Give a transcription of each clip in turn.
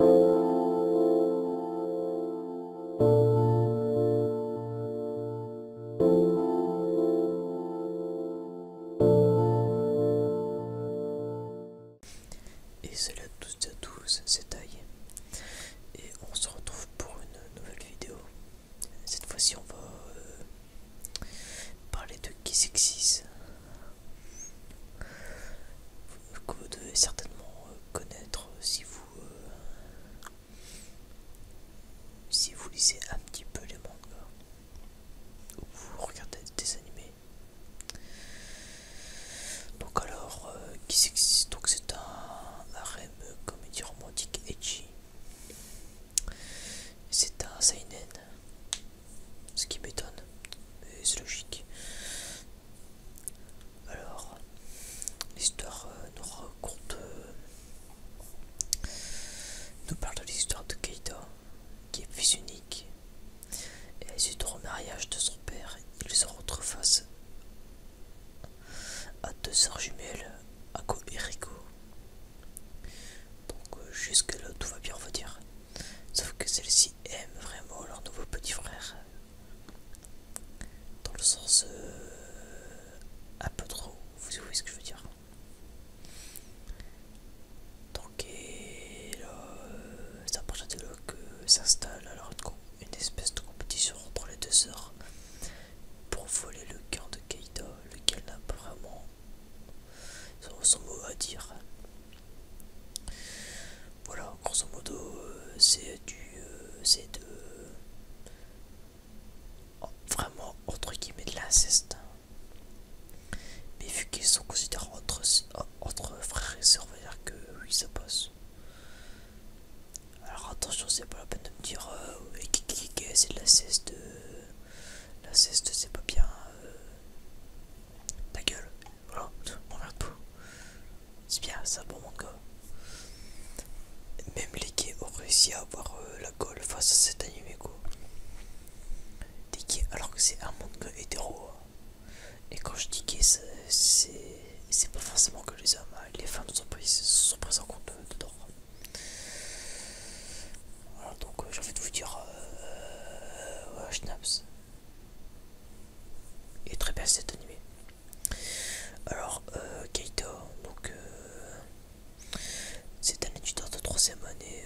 Et salut à toutes et à tous, c'est taille. Et on se retrouve pour une nouvelle vidéo. Cette fois-ci on va euh, parler de qui 6 que vous devez certainement euh, connaître si vous euh, si vous lisez un petit peu les mangas ou vous regardez des animés donc alors euh, qui c'est donc c'est un harem comédie romantique edgy c'est un seinen ce qui m'étonne, mais c'est logique. Alors, l'histoire euh, nous raconte. Euh, nous parle de l'histoire de Keita, qui est fils unique. Et suite au remariage de son père, il se retrouve face à deux sœurs jumelles, Ako et Riko. Donc, euh, jusque là, tout va bien, on va dire. Sauf que celle-ci aime vraiment leur nouveau petit frère. Dans le sens euh, un peu trop, vous voyez ce que je veux dire. Donc et là, ça euh, de que s'installe alors une espèce de compétition entre les deux sœurs pour voler le cœur de Kaida, lequel n'a vraiment son, mot à dire. Voilà, grosso modo, euh, c'est du. Euh, c'est de. Oh, vraiment, entre guillemets, de l'inceste. Mais vu qu'ils sont considérés entre, frères et sœurs, on va dire que oui, ça passe. Alors attention, c'est pas la peine de me dire est, euh, c'est de la de La ceste, c'est pas bien. Ta gueule, voilà, on verra tout. C'est bien, ça pour bon manga. Même les gays ont réussi à avoir euh, la gueule face à cet animé quoi. alors que c'est un manga hétéro. Hein. Et quand je dis gays, c'est pas forcément que les hommes, hein. les femmes sont prises, sont pas en compte euh, dedans donc euh, j'ai envie de vous dire euh, est très bien cet animé. Alors euh, Kaito donc euh, c'est un étudiant de troisième année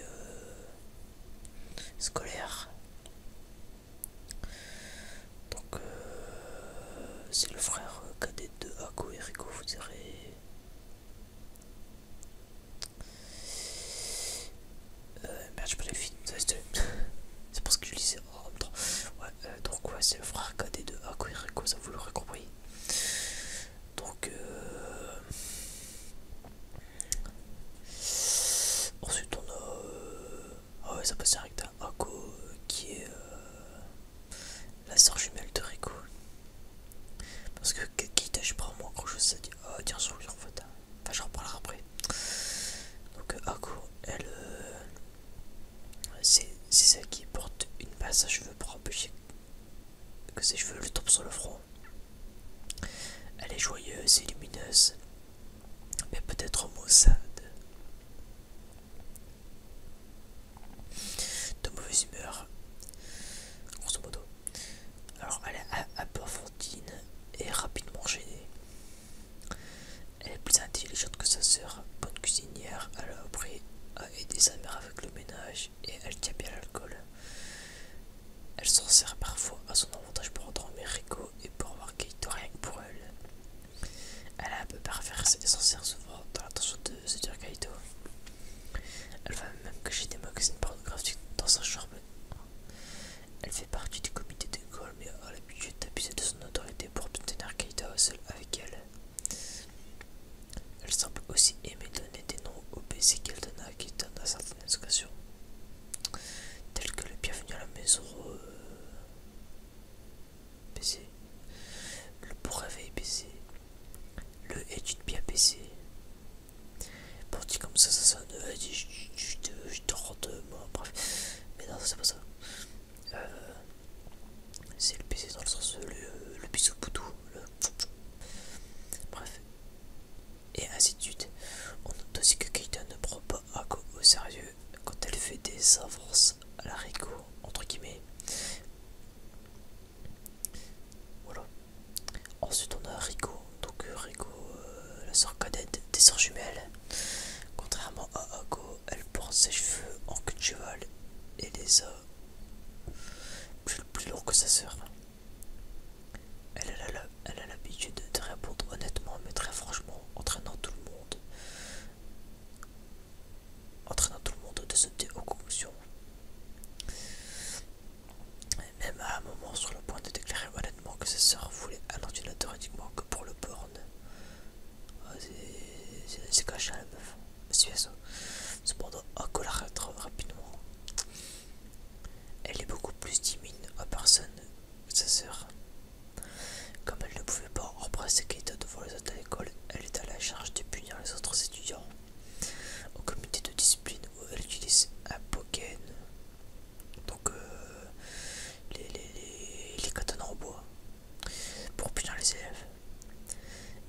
scolaire. Donc c'est le frère cadet de Ako et Rico, vous direz. Euh, merde, je pas les films, c'est parce que je lisais oh, Ouais, euh, donc, ouais, c'est le frère cadet de Rico. ça vous l'aurez compris. Donc, euh... ensuite on a. Euh, ah ouais, ça passe avec à Ako qui est euh, la sœur jumelle de Rico. Parce que qui je prends moi quand je sais dire oh tiens sur lui en Enfin je reparlerai après Donc court, euh, elle euh, c'est celle qui porte une passe à cheveux pour empêcher que ses cheveux lui tombent sur le front Elle est joyeuse et lumineuse mais peut-être maussade de mauvaise humeur grosso modo alors elle est enfantine et rapidement gênée. Elle est plus intelligente que sa sœur, bonne cuisinière, elle a appris à aider sa mère avec le ménage et elle tient bien l'alcool. Elle s'en sert parfois à son avantage pour endormir Rico et pour avoir Kaito rien que pour elle. Elle a un peu parfait et s'en sert souvent dans l'attention de dire Kaito. Elle va même cacher des magazines pornographiques dans sa chambre. Elle fait partie du comité d'école, mais a l'habitude d'abuser de son autorité pour obtenir quelque seul avec elle. Elle semble aussi aimer donner des noms au PC qu'elle donne à certaines occasions, tels que le bienvenue à la maison euh, PC, le pour réveil le est une bien PC Pour dire comme ça, ça sonne. Euh, je te euh, bref. Mais non, c'est pas ça. Euh, c'est le PC dans le sens le, euh, le bisou boutou. Le... Bref. Et ainsi de suite. On note aussi que Keita ne prend pas au sérieux quand elle fait des avances à la Rico, entre guillemets. Voilà. Ensuite on a Rico, donc euh, Rico, euh, la sœur cadette des sœurs jumelles. Contrairement à Ago, elle porte ses cheveux en queue et les a plus, plus longs que sa sœur. Elle a l'habitude de répondre honnêtement mais très franchement, entraînant tout le monde entraînant tout le monde de sauter aux même à un moment sur le point de déclarer honnêtement que sa sœur voulait un ordinateur uniquement que pour le porn. Ah, c'est caché à la meuf, monsieur ça. Cependant, un colère rapidement. Elle est beaucoup plus timide à personne que sa sœur. Comme elle ne pouvait pas embrasser Keita devant les à l'école, elle est à la charge de punir les autres étudiants. Au comité de discipline, où elle utilise un poké donc euh, les, les, en bois, pour punir les élèves.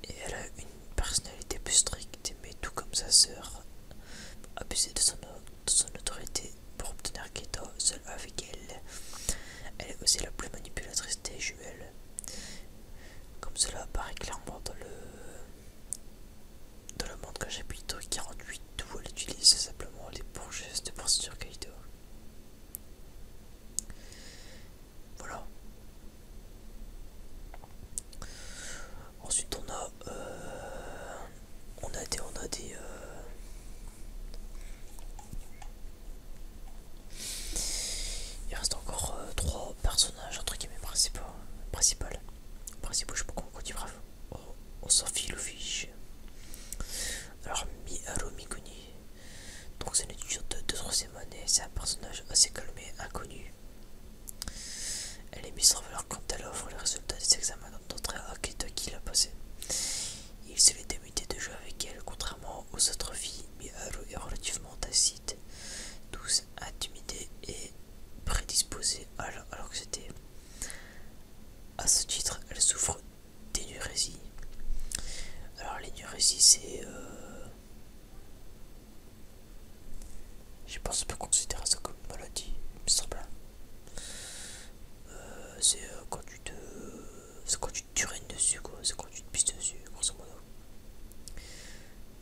Et elle a une personnalité plus stricte, mais tout comme sa sœur, abusée de son, son autorité pour obtenir soit seule avec elle. Elle est aussi la plus manipulatrice des juels comme cela apparaît clairement dans le, dans le monde que j'habite, 48, elle utilise simplement les bourgeois de procédure Kaido. Voilà. Ensuite on a euh, on a des on a des euh, il reste encore euh, trois personnages entre guillemets principaux. Principaux, principal. je sais pas comment on dit, bref. On, s'en fiche. Alors, Miharu Mikuni, donc c'est une étudiante de 3 année, c'est un personnage assez calmé, inconnu. Elle est mise en valeur quand elle offre les résultats des examens d'entrée à qui l'a passé. Il se de jouer avec elle, contrairement aux autres filles, mais elle est relativement tacite, douce, intimidée et prédisposée à c'était, À ce titre, elle souffre d'énurésie. Alors l'énurésie, c'est... Euh, je pense pas peut considérer ça comme une maladie, euh, c'est euh, quand tu te tu dessus, quoi. C'est quand tu te pisses dessus, grosso modo.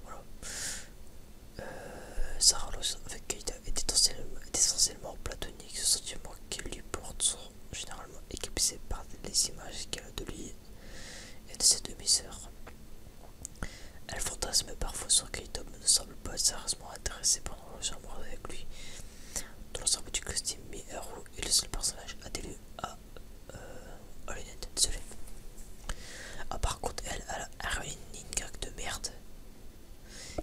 Voilà. Euh, Sarah Lawson avec Keita est essentiellement, platonique. Ce sentiment qu'elle lui porte sont généralement éclipsés par les images qu'elle a de lui et de ses demi-sœurs. Elle fantasme parfois sur Kaito mais ne semble pas sérieusement intéressée pendant le amoureux avec lui. Dans l'ensemble du costume, roule il est le seul personnage à, euh, à l'unité de Ah, par contre, elle, elle a une gague de merde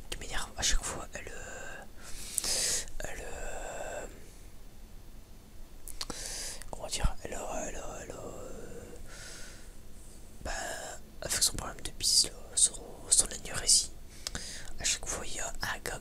qui m'énerve à chaque fois. Elle. Euh, elle. Euh, comment dire Elle. Elle. elle, euh, bah, elle avec son problème de pisse, son, son anorésie, à chaque fois il y a un gars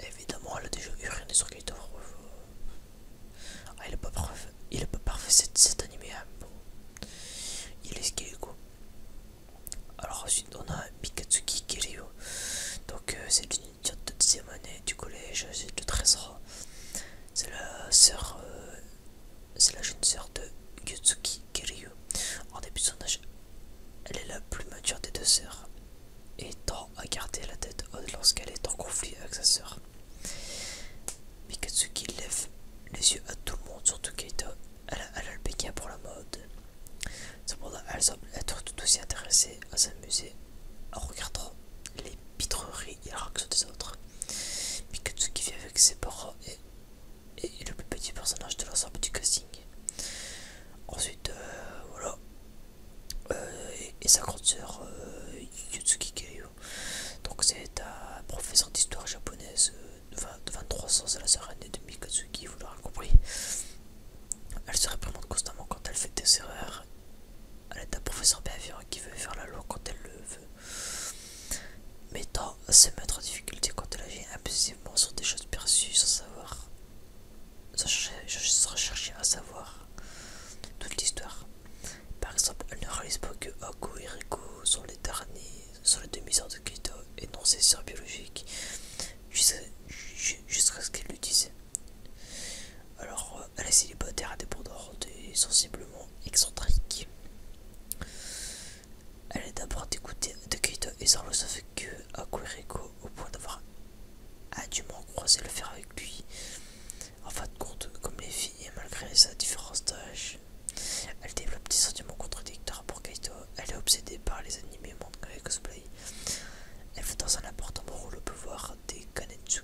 Évidemment, elle a déjà uriné sur de Ah, il est pas parfait, il est pas parfait cet, anime hein, Il est gay Alors ensuite on a Mikatsuki Kiryu. Donc euh, c'est une idiote de deuxième année du collège, c'est de 13 ans. C'est la sœur, euh, c'est la jeune sœur de Yutsuki Kiryu. En début elle est la plus mature des deux sœurs et tend à garder la tête haute lorsqu'elle est en conflit avec sa sœur. Mikatsuki lève les yeux à tout le monde, surtout Keito. Elle a l'albéquia pour la mode. Cependant, elle semble être tout aussi intéressée à s'amuser en regardant les pitreries et les des autres. Mikatsuki vit avec ses parents et et le plus petit personnage de l'ensemble du casting. Ensuite, euh, voilà. Euh, et, sa grande soeur euh, Yutsuki Donc c'est un professeur d'histoire japonaise de, 23 ans, c'est la sœur aînée de Mikatsuki, vous l'aurez compris. Elle se réprimande constamment quand elle fait des erreurs. Elle est un professeur bienveillant qui veut faire la loi quand elle le veut. Mais tant se mettre en difficulté quand elle agit impulsivement sur des choses perçues sans savoir, sans chercher, à savoir toute l'histoire. Par exemple, elle ne réalise pas que Haku et Riko sont les derniers, sur les demi heures de Keto et non ses soeurs biologiques, jusqu'à ce qu'elle le Alors, euh, elle est célibataire, indépendante et sensiblement excentrique. Elle est d'abord dégoûtée de Kaito et sans le que à au point d'avoir adûment croisé le faire avec lui. En fin de compte, comme les filles, et malgré sa différence d'âge, elle développe des sentiments contradictoires pour Kaito. Elle est obsédée par les animés, manga cosplay. Elle fait dans un important rôle le pouvoir des Kanetsuki.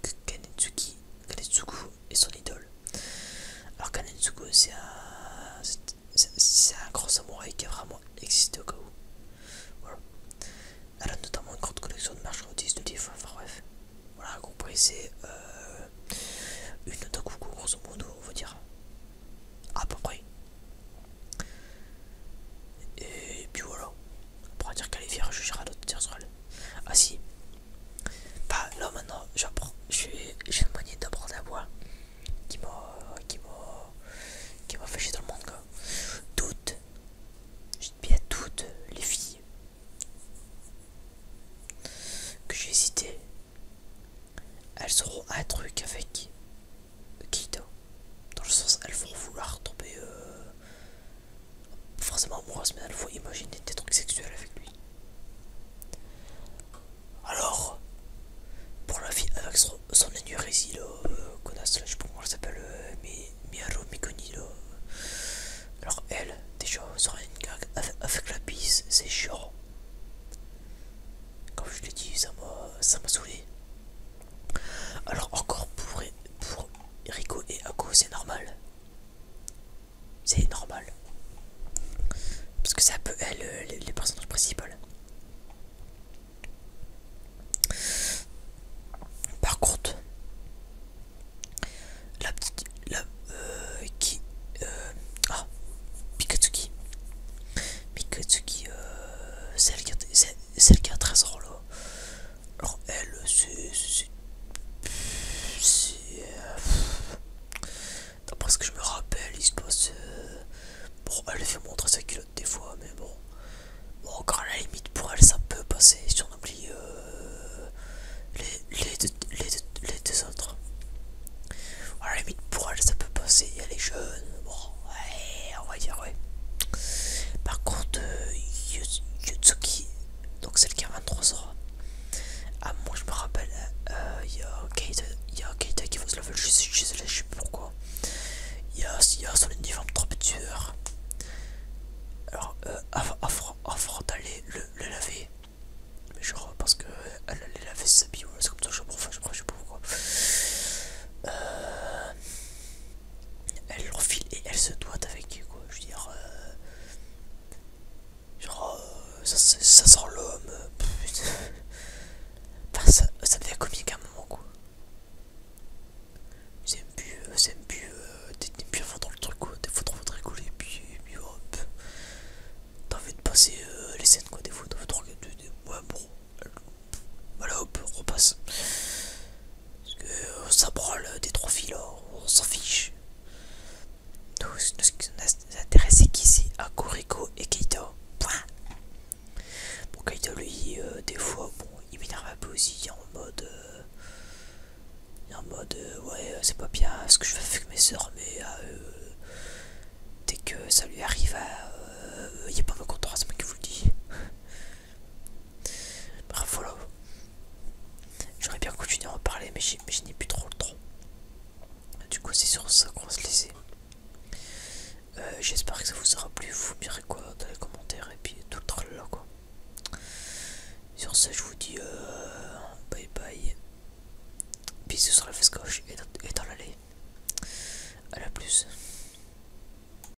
que Kanetsuki Kanetsugu est son idole. Alors Kanetsugu c'est un, c'est un grand samouraï qui a vraiment existé au cas où. Voilà. Elle a notamment une grande collection de marchandises, de livres, enfin bref. Voilà, compris, c'est euh, une otaku grosso modo, on va dire. À peu près. Et puis voilà. On pourra dire qu'elle est fière, jugera d'autres tierces sur Ah si, bah là maintenant, je j'ai une de d'apprendre à voix qui m'a qui qui va fait chier dans le monde quoi. Toutes, je dis bien toutes les filles que j'ai citées, elles auront un truc avec Kido. Dans le sens, elles vont vouloir tomber euh, forcément amoureuse, mais elle fois imaginer des trucs sexuels avec lui. Alors, pour la fille avec son, son euh, là, je sais pas comment elle s'appelle, euh, Miaro Alors, elle, déjà, sur une avec, la pisse c'est chiant. Comme je l'ai dit, ça m'a saoulé. Alors, encore pour, pour Rico et Ako, c'est normal. C'est normal. Parce que ça peut peu les personnages le Par contre, la petite. La, euh, qui. Euh, ah, Pikatsuki. Pikatsuki, euh, celle, qui a, celle, alors, elle, c'est. C'est... Euh, D'après ce que je me rappelle, il se passe. Euh, bon, elle fait montrer sa culotte des fois, mais bon. Bon, encore à la limite, pour elle, ça peut passer si on oublie euh, les, les, deux, les, deux, autres. À la limite, pour elle, ça peut passer. Elle est jeune, bon, ouais, on va dire, ouais. Par contre, Yutsuki, donc celle qui a 23 ans. Ah, moi je me rappelle, euh, il y a Keita qui se laver je sais, je sais, je sais plus pourquoi. Il y a, y a son uniforme tueur Alors, euh, avant, avant d'aller le, le laver, mais genre parce que elle allait laver ses habits, ouais, c'est comme ça, je, enfin, je, je sais pas pourquoi. Euh, elle l'enfile et elle se doit avec quoi je veux dire euh, genre euh, ça, ça, ça sent l'homme euh, enfin, ça, ça devient comique à un moment quoi c'est un plus c'est un plus euh, t'es plus avant dans le truc quoi des fois trop rigolo et puis, puis hop t'as envie de passer les scènes quoi des fois t'as envie de regarder ouais bon voilà hop on repasse parce que euh, ça brûle euh, des trophies là, oh, on s'en fiche. Nous ce qui nous intéresse c'est qu'ici à Kuriko et Kaito. Point. Bon Kaito lui euh, des fois bon il m'énerve un peu aussi en mode en mode ouais c'est pas bien ce que je fais avec mes soeurs mais dès que ça lui arrive il y a pas de c'est moi qui vous le dis. Bravo J'aurais bien continué à en parler, mais je n'ai plus trop le temps. Du coup, c'est sur ça qu'on va se laisser. Euh, j'espère que ça vous aura plu. Vous me direz quoi dans les commentaires et puis tout le tralala quoi. Sur ce, je vous dis euh, bye bye. Bisous sur la face gauche et dans, l'allée. à la plus.